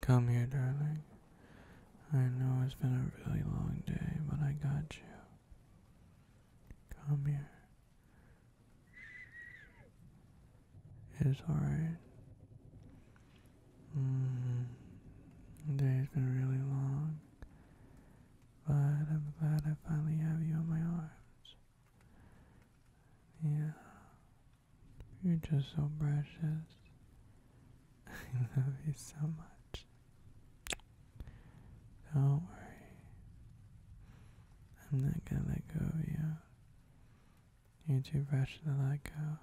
Come here, darling. I know it's been a really long day, but I got you. Come here. It's alright. Mm, mm-hmm. the day's been really long, but I'm glad I finally have you in my arms. Yeah, you're just so precious. I love you so much. Don't worry. I'm not gonna let go of you. You're too precious to let go.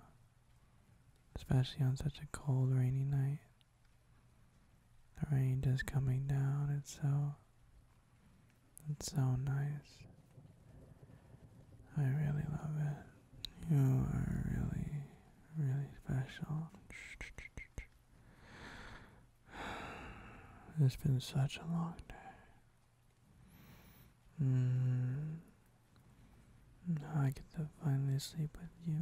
Especially on such a cold, rainy night. The rain just coming down, it's so it's so nice. I really love it. You are really, really special. It's been such a long day. Mm. I get to finally sleep with you.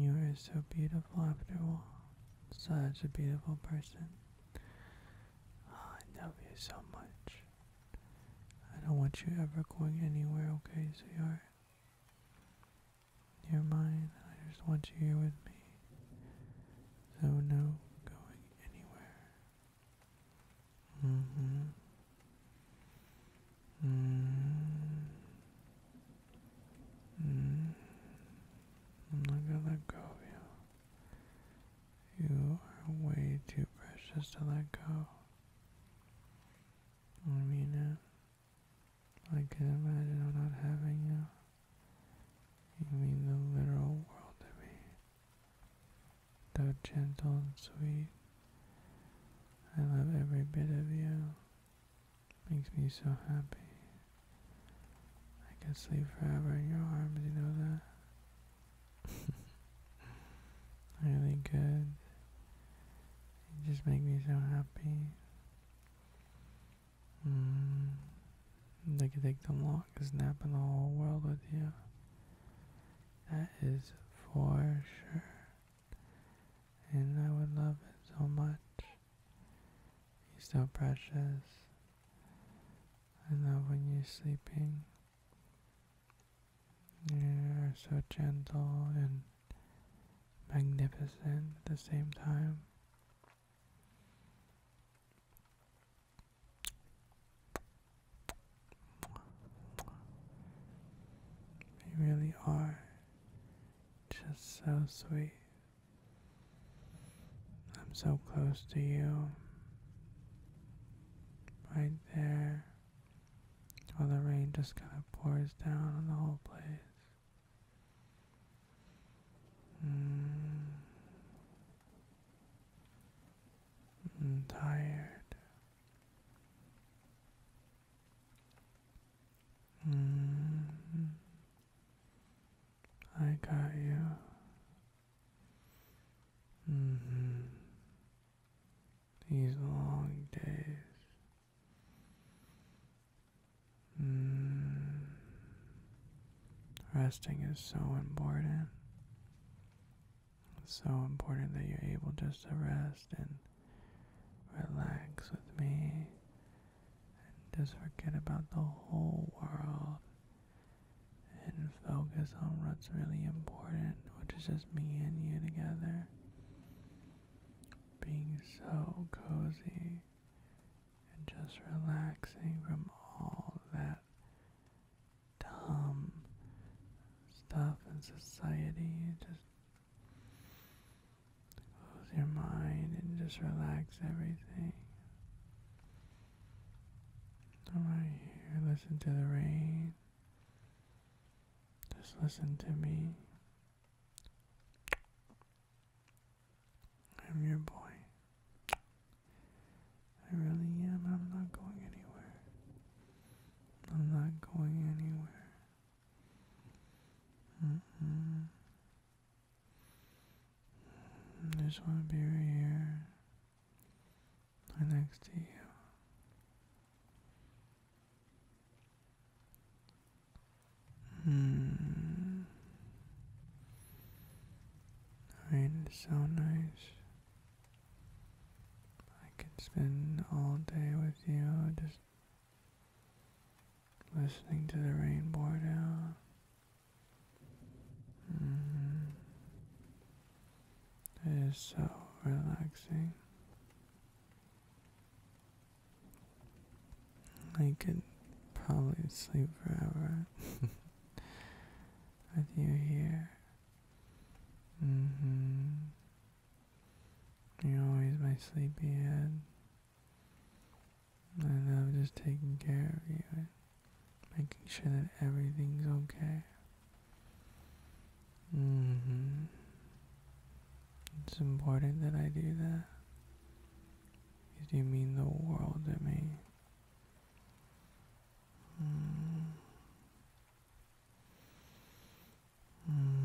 You are so beautiful after all. Such a beautiful person. Oh, I love you so much. I don't want you ever going anywhere, okay, sweetheart? You're mine. I just want you here with me. So no going anywhere. Mm-hmm. Mm-hmm. -hmm. hmm hmm i am not gonna go you. You are way too precious to let go. I mean it. I can imagine not having you. You mean the literal world to me. Though gentle and sweet, I love every bit of you. Makes me so happy. I could sleep forever in your arms, you know that. really good. You just make me so happy. Mm. They can take the longest nap in the whole world with you. That is for sure. And I would love it so much. You're so precious. I love when you're sleeping. You are so gentle and magnificent at the same time. You really are just so sweet. I'm so close to you. I there while the rain just kind of pours down on the whole place. Mm. I'm tired. Mm. I got you. Mm-hmm. These long days. Mm. Resting is so important. so important that you're able just to rest and relax with me and just forget about the whole world and focus on what's really important, which is just me and you together. Being so cozy and just relaxing from all that dumb stuff in society. Just close your mind and just relax everything. I'm right here. Listen to the rain. Just listen to me. I'm your boy. I really am. I'm not going anywhere. I'm not going anywhere. I just want to be right here right next to you. Hmm. it's so nice. I could spend all day with you, just listening to the rain pour down. It mm. is so relaxing. I could probably sleep forever with you here. Mm-hmm. You're always my sleepy head. I am just taking care of you making sure that everything's okay. Mm-hmm. It's important that I do that. you mean the world to me. Mm-hmm. Mm-hmm.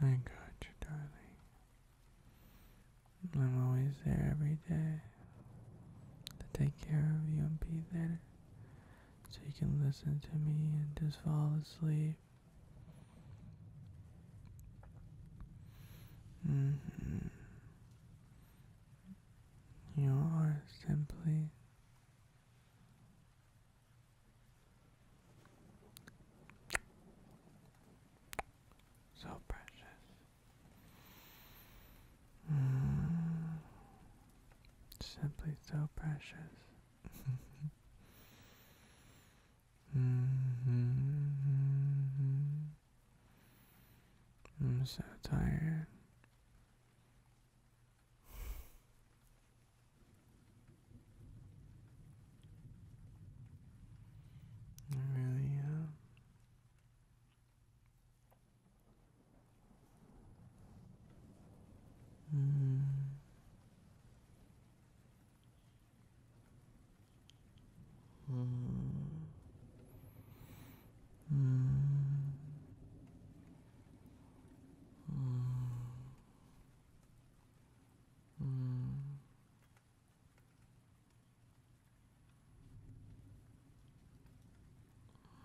I got you, darling. I'm always there every day to take care of you and be there so you can listen to me and just fall asleep. Mm-hmm. You are simply so precious. Mm. Simply so precious. Mm-hmm. I'm so tired. I really am. Mm. Mm. Mm. Mm.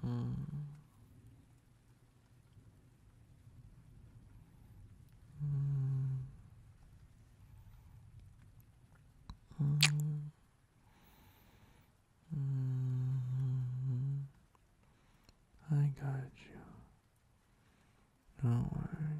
Hmm. Hmm. Hmm. I got you. do worry.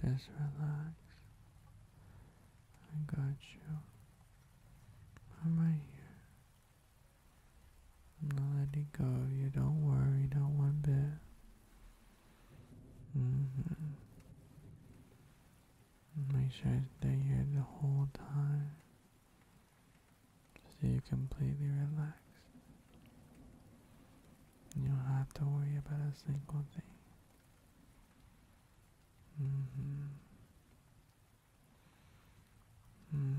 Just relax. I got you. I'm right here. I'm not letting go of you. Don't worry, not one bit. Mm-hmm. Make sure I stay here the whole time. So you're completely relaxed. You don't have to worry about a single thing. Mm hmm. Mm.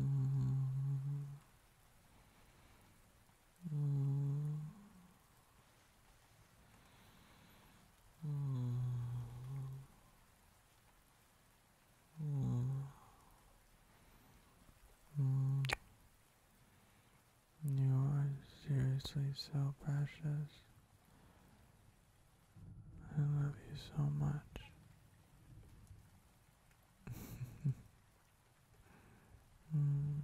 Mm. You are seriously so precious. I love you so much. mm.